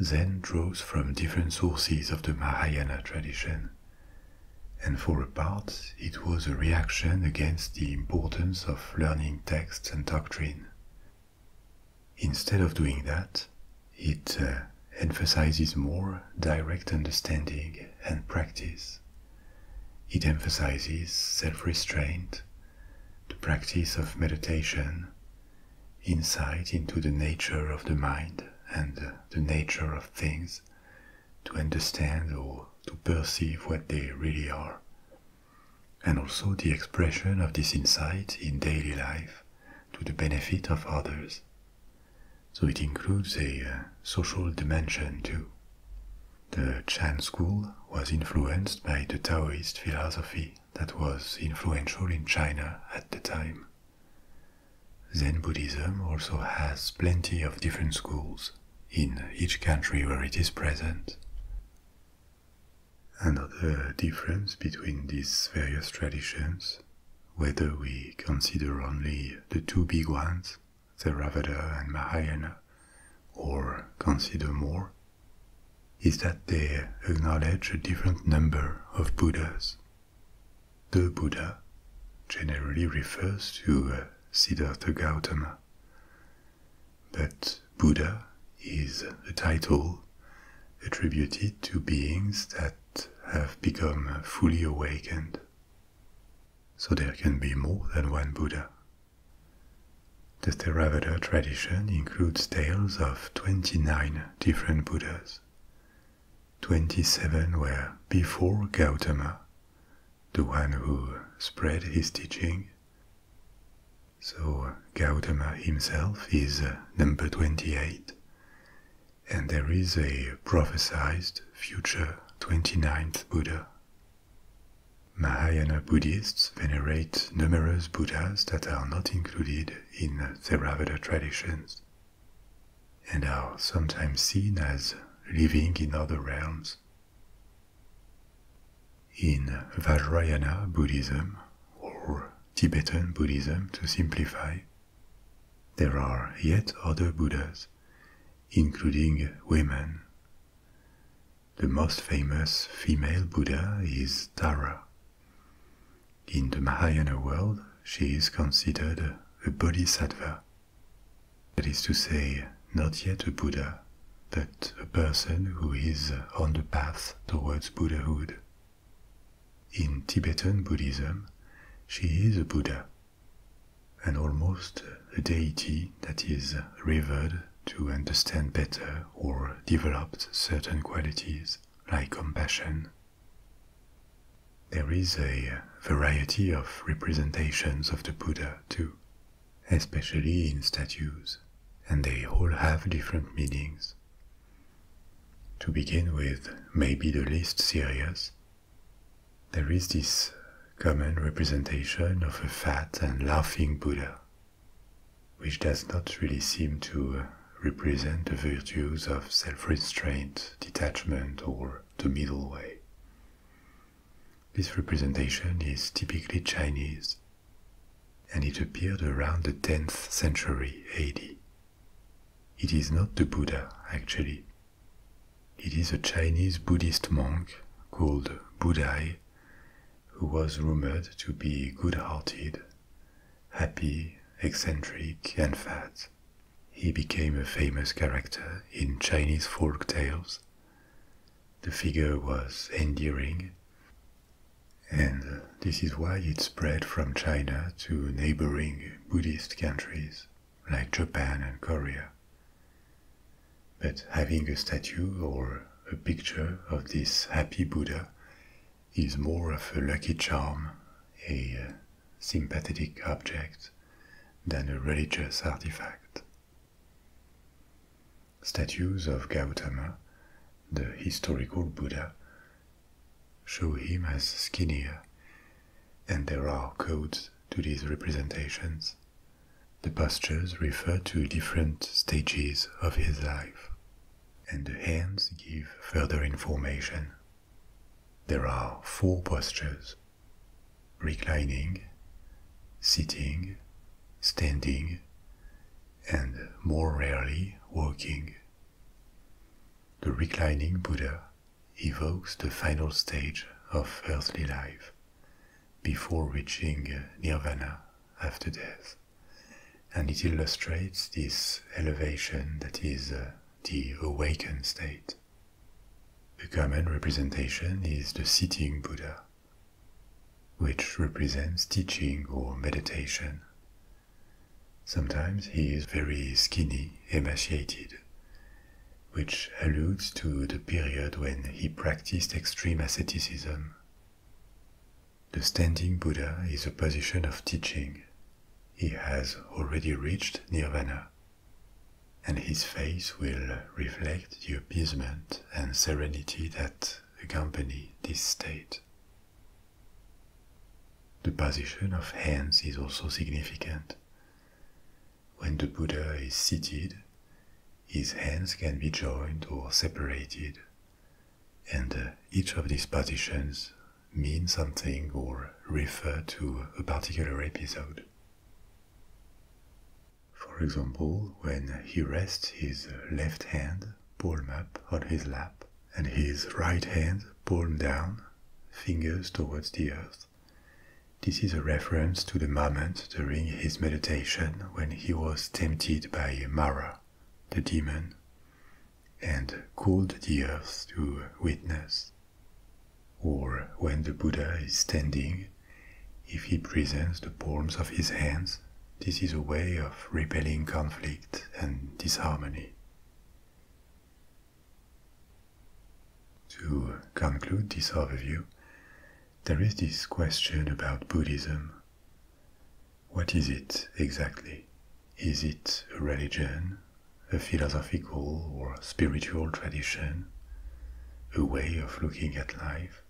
Zen draws from different sources of the Mahayana tradition, and for a part it was a reaction against the importance of learning texts and doctrine. Instead of doing that, it uh, emphasizes more direct understanding and practice. It emphasizes self restraint, the practice of meditation, insight into the nature of the mind and the nature of things, to understand or to perceive what they really are, and also the expression of this insight in daily life to the benefit of others. So it includes a uh, social dimension too. The Chan school was influenced by the Taoist philosophy that was influential in China at the time. Zen Buddhism also has plenty of different schools in each country where it is present. Another difference between these various traditions, whether we consider only the two big ones, the Ravada and Mahayana, or consider more, is that they acknowledge a different number of Buddhas. The Buddha generally refers to uh, Siddhartha Gautama, but Buddha is a title attributed to beings that have become fully awakened. So there can be more than one Buddha, the Theravada tradition includes tales of 29 different Buddhas. 27 were before Gautama, the one who spread his teaching. So Gautama himself is uh, number 28, and there is a prophesied future 29th Buddha. Mahayana Buddhists venerate numerous Buddhas that are not included in Theravada traditions and are sometimes seen as living in other realms. In Vajrayana Buddhism, or Tibetan Buddhism to simplify, there are yet other Buddhas, including women. The most famous female Buddha is Tara. In the Mahayana world, she is considered a bodhisattva. That is to say, not yet a Buddha, but a person who is on the path towards Buddhahood. In Tibetan Buddhism, she is a Buddha, and almost a deity that is revered to understand better or developed certain qualities like compassion. There is a variety of representations of the Buddha too, especially in statues, and they all have different meanings. To begin with, maybe the least serious, there is this common representation of a fat and laughing Buddha which does not really seem to represent the virtues of self restraint, detachment, or the middle way. This representation is typically Chinese, and it appeared around the 10th century AD. It is not the Buddha, actually. It is a Chinese Buddhist monk called Budai who was rumored to be good hearted, happy, eccentric, and fat. He became a famous character in Chinese folk tales. The figure was endearing, and this is why it spread from China to neighboring Buddhist countries like Japan and Korea. But having a statue or a picture of this happy Buddha is more of a lucky charm, a uh, sympathetic object, than a religious artifact. Statues of Gautama, the historical Buddha, show him as skinnier, and there are codes to these representations the postures refer to different stages of his life, and the hands give further information. There are four postures reclining, sitting, standing, and more rarely walking. The reclining Buddha evokes the final stage of earthly life before reaching nirvana after death, and it illustrates this elevation that is uh, the awakened state. The common representation is the sitting Buddha, which represents teaching or meditation. Sometimes he is very skinny, emaciated, which alludes to the period when he practiced extreme asceticism the standing Buddha is a position of teaching. He has already reached nirvana, and his face will reflect the appeasement and serenity that accompany this state. The position of hands is also significant. When the Buddha is seated, his hands can be joined or separated, and uh, each of these partitions mean something or refer to a particular episode. For example, when he rests his left hand palm up on his lap and his right hand palm down, fingers towards the earth, this is a reference to the moment during his meditation when he was tempted by Mara, the demon, and called the earth to witness, or when the Buddha is standing, if he presents the palms of his hands, this is a way of repelling conflict and disharmony. To conclude this overview, there is this question about Buddhism. What is it exactly? Is it a religion, a philosophical or spiritual tradition, a way of looking at life?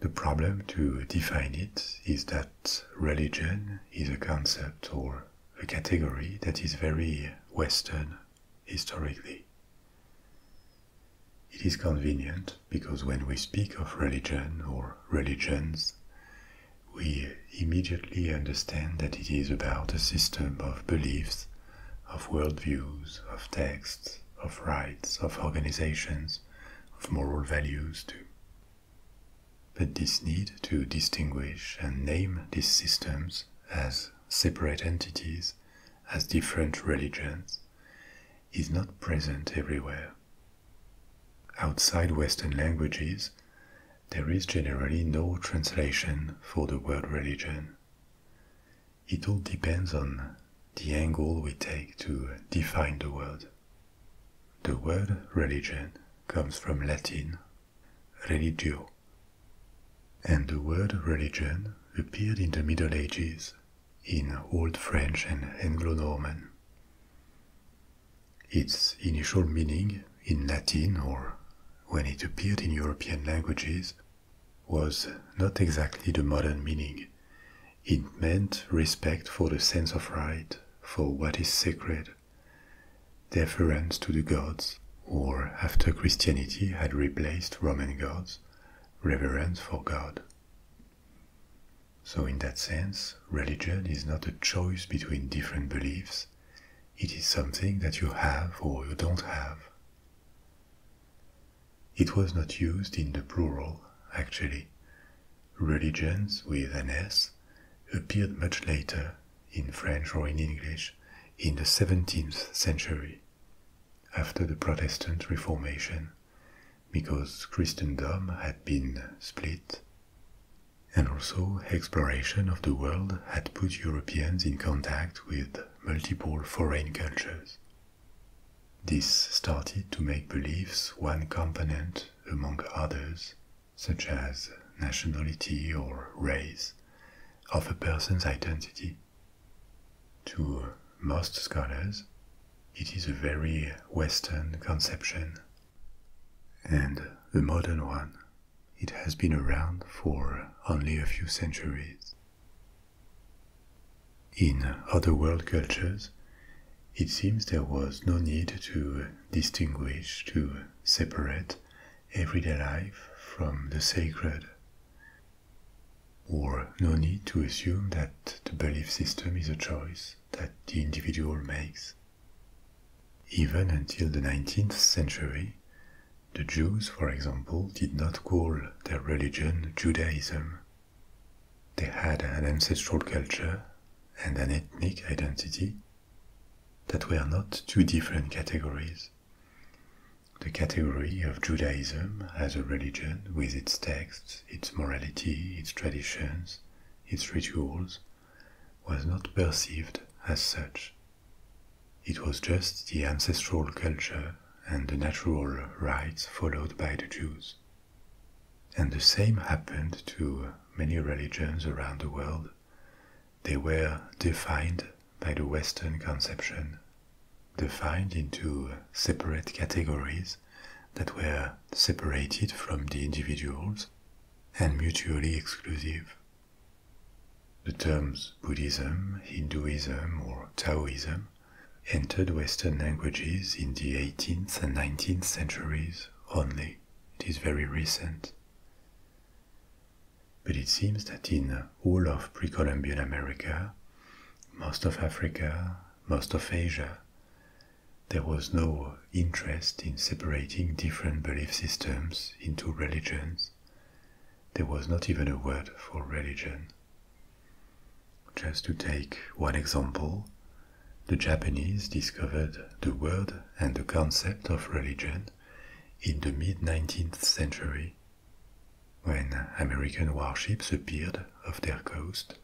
The problem to define it is that religion is a concept or a category that is very Western historically. It is convenient because when we speak of religion or religions, we immediately understand that it is about a system of beliefs, of worldviews, of texts, of rites, of organizations, of moral values too. But this need to distinguish and name these systems as separate entities, as different religions, is not present everywhere. Outside Western languages, there is generally no translation for the word religion. It all depends on the angle we take to define the word. The word religion comes from Latin religio, and the word religion appeared in the Middle Ages in Old French and Anglo Norman. Its initial meaning in Latin or when it appeared in European languages was not exactly the modern meaning. It meant respect for the sense of right, for what is sacred, deference to the gods, or after Christianity had replaced Roman gods, reverence for God. So, in that sense, religion is not a choice between different beliefs, it is something that you have or you don't have. It was not used in the plural, actually. Religions with an S appeared much later, in French or in English, in the 17th century, after the Protestant Reformation, because Christendom had been split, and also exploration of the world had put Europeans in contact with multiple foreign cultures. This started to make beliefs one component among others, such as nationality or race, of a person's identity. To most scholars, it is a very Western conception and a modern one. It has been around for only a few centuries. In other world cultures, it seems there was no need to distinguish, to separate everyday life from the sacred, or no need to assume that the belief system is a choice that the individual makes. Even until the 19th century, the Jews, for example, did not call their religion Judaism. They had an ancestral culture and an ethnic identity that were not two different categories. The category of Judaism as a religion with its texts its morality, its traditions, its rituals, was not perceived as such. It was just the ancestral culture and the natural rites followed by the Jews. And the same happened to many religions around the world. They were defined by the Western conception defined into separate categories that were separated from the individuals and mutually exclusive. The terms Buddhism, Hinduism, or Taoism entered Western languages in the 18th and 19th centuries only. It is very recent. But it seems that in all of pre Columbian America, most of Africa, most of Asia. There was no interest in separating different belief systems into religions. There was not even a word for religion. Just to take one example, the Japanese discovered the word and the concept of religion in the mid 19th century when American warships appeared off their coast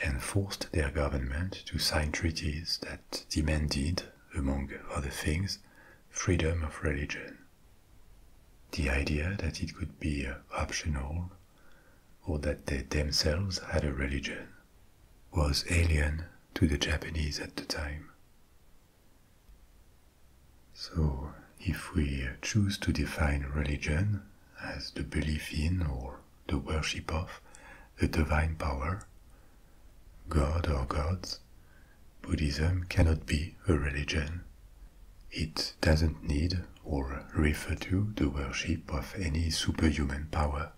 and forced their government to sign treaties that demanded, among other things, freedom of religion. The idea that it could be optional or that they themselves had a religion was alien to the Japanese at the time. So, if we choose to define religion as the belief in or the worship of a divine power, God or gods, Buddhism cannot be a religion. It doesn't need or refer to the worship of any superhuman power.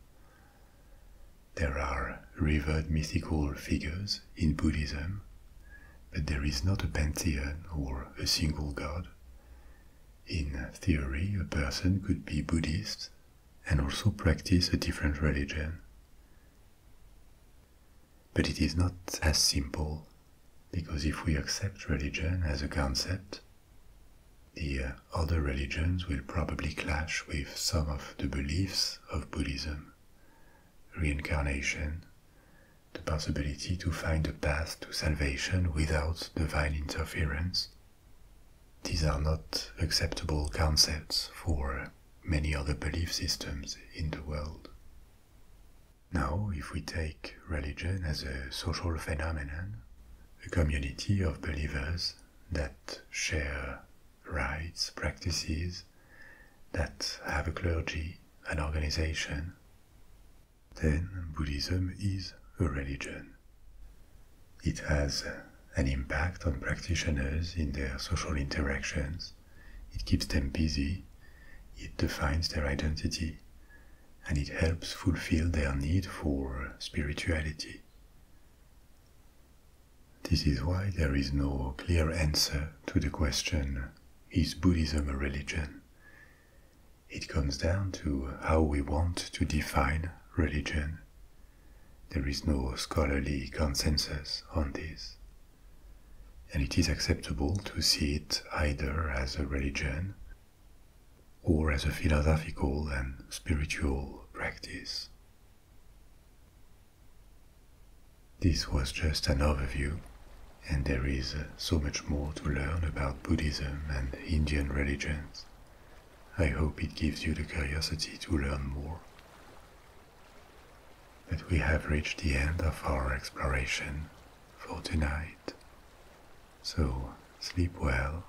There are revered mythical figures in Buddhism, but there is not a pantheon or a single god. In theory, a person could be Buddhist and also practice a different religion. But it is not as simple, because if we accept religion as a concept, the uh, other religions will probably clash with some of the beliefs of Buddhism, reincarnation, the possibility to find a path to salvation without divine interference. These are not acceptable concepts for many other belief systems in the world. Now, if we take religion as a social phenomenon, a community of believers that share rites, practices, that have a clergy, an organization, then Buddhism is a religion. It has an impact on practitioners in their social interactions, it keeps them busy, it defines their identity, and it helps fulfill their need for spirituality. This is why there is no clear answer to the question, is Buddhism a religion? It comes down to how we want to define religion. There is no scholarly consensus on this. And it is acceptable to see it either as a religion or as a philosophical and spiritual practice. This was just an overview and there is uh, so much more to learn about Buddhism and Indian religions. I hope it gives you the curiosity to learn more. But we have reached the end of our exploration for tonight. So sleep well,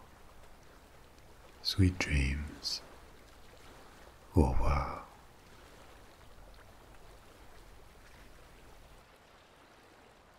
sweet dreams, au revoir.